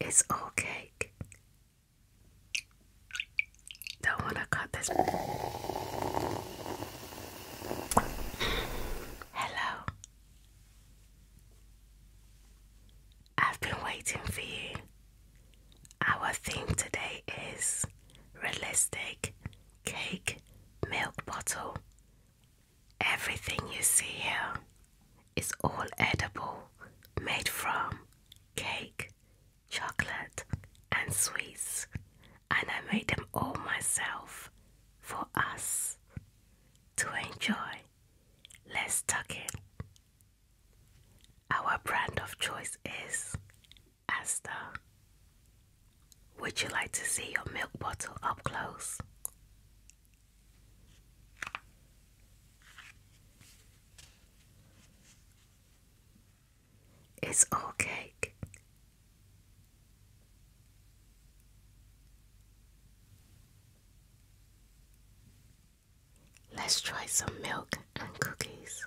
It's all cake. Don't want to cut this. Hello. I've been waiting for you. Our theme today is realistic cake milk bottle. Everything you see here is all edible, made from cake, chocolate, and sweets, and I made them all myself for us to enjoy. Let's tuck in. Our brand of choice is Asta. Would you like to see your milk bottle up close? It's all Let's try some milk and cookies.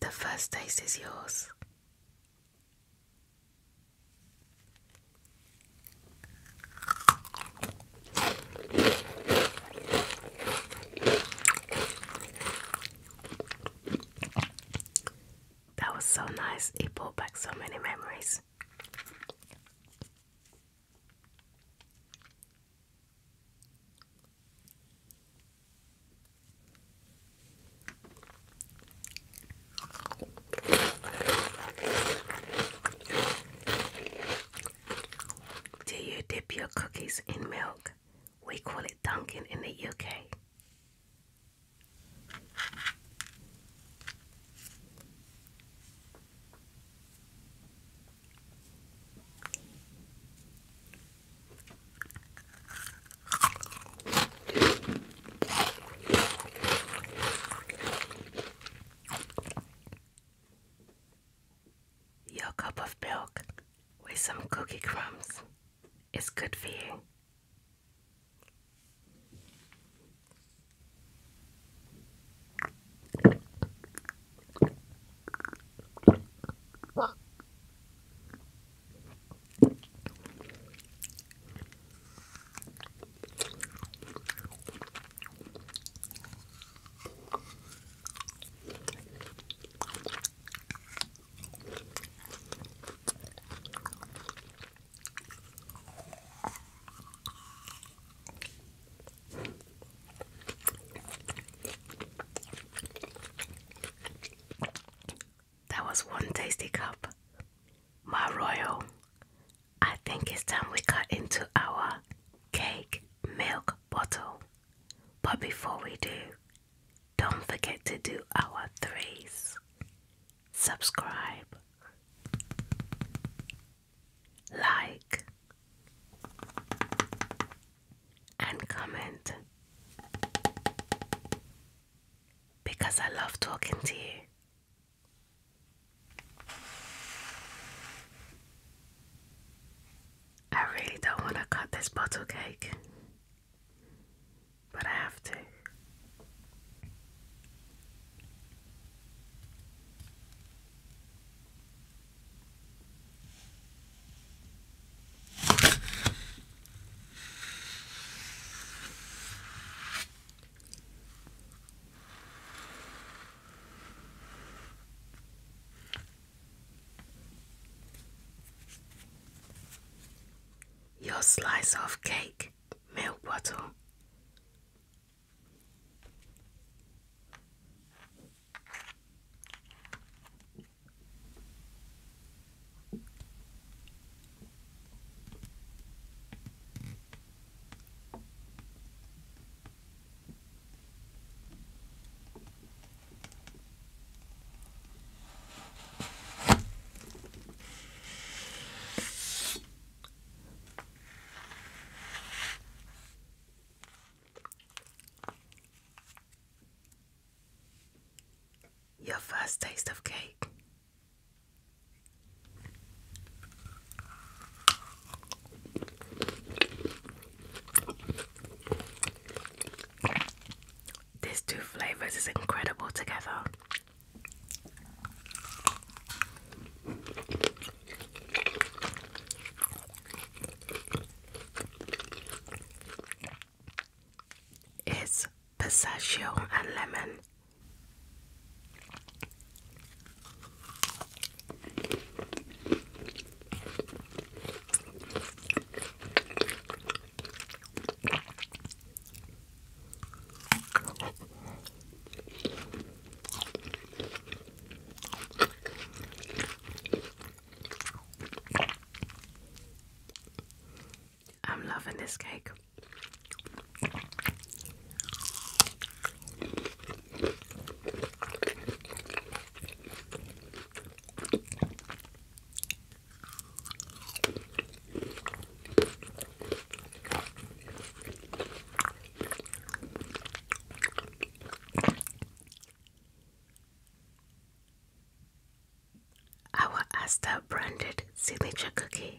The first taste is yours. That was so nice. It brought back so many memories. Do you dip your cookies in milk? We call it dunking in the UK. Your cup of milk with some cookie crumbs is good for you. That was one tasty cup. My royal I think it's time we cut into our cake milk bottle. But before we do, don't forget to do our threes. Subscribe, like, and comment. Because I love talking to you. I really don't want to cut this bottle cake, but I have to. Your slice of cake, milk bottle. Your first taste of cake these two flavors is incredible together. It's pistachio and lemon. I'm loving this cake. Our Asta branded signature cookie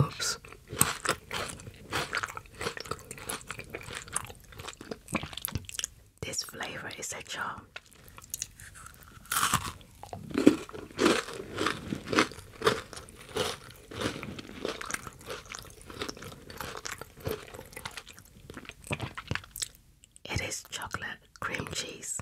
Oops. This flavor is a charm. It is chocolate cream cheese.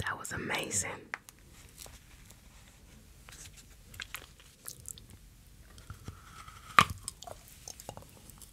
That was amazing.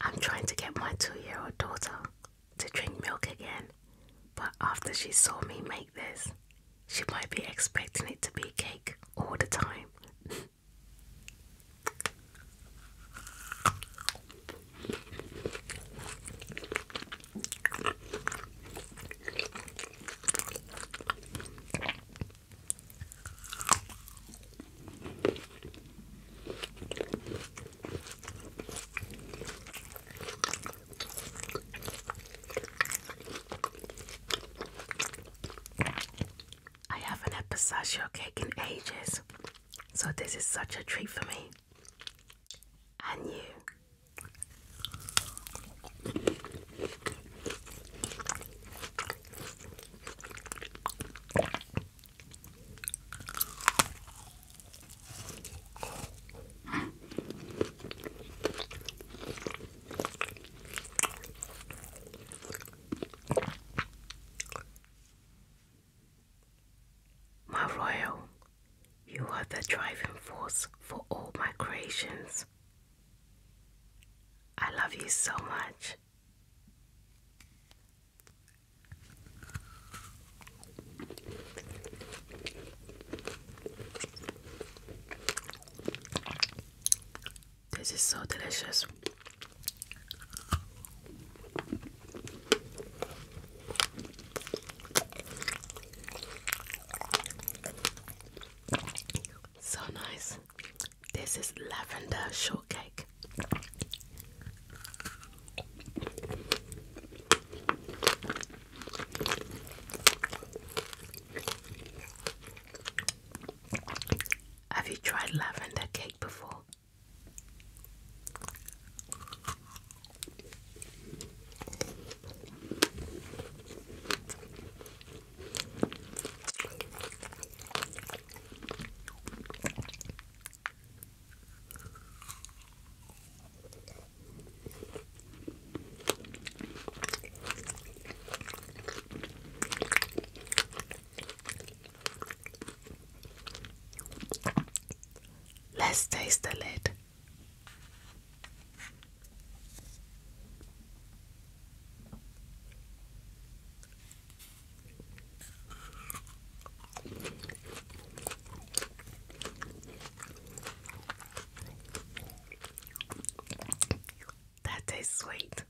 I'm trying to get my two year old daughter to drink milk again, but after she saw me make this, she might be expecting it to be cake all the time. I haven't had pistachio cake in ages, so this is such a treat for me. And you. My royal, you are the driving force for all my creations. I love you so much. This is so delicious. So nice this. is lavender shortcake. Have you tried lavender cake before? Let's taste the lid. That tastes sweet.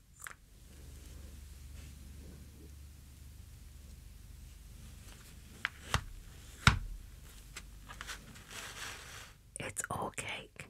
It's all cake.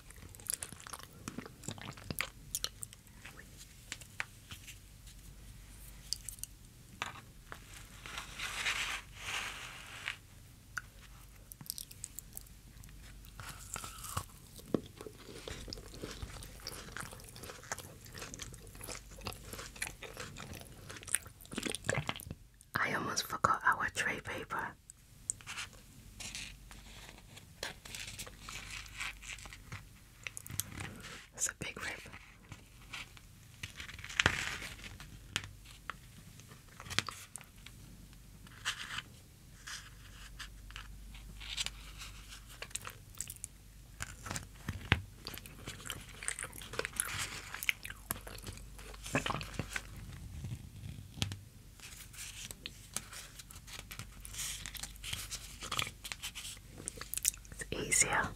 I almost forgot our tray paper. That's a big rip. It's easier.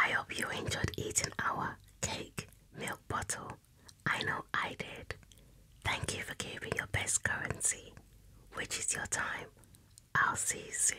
I hope you enjoyed eating our cake milk bottle. I know I did. Thank you for giving your best currency, which is your time. I'll see you soon.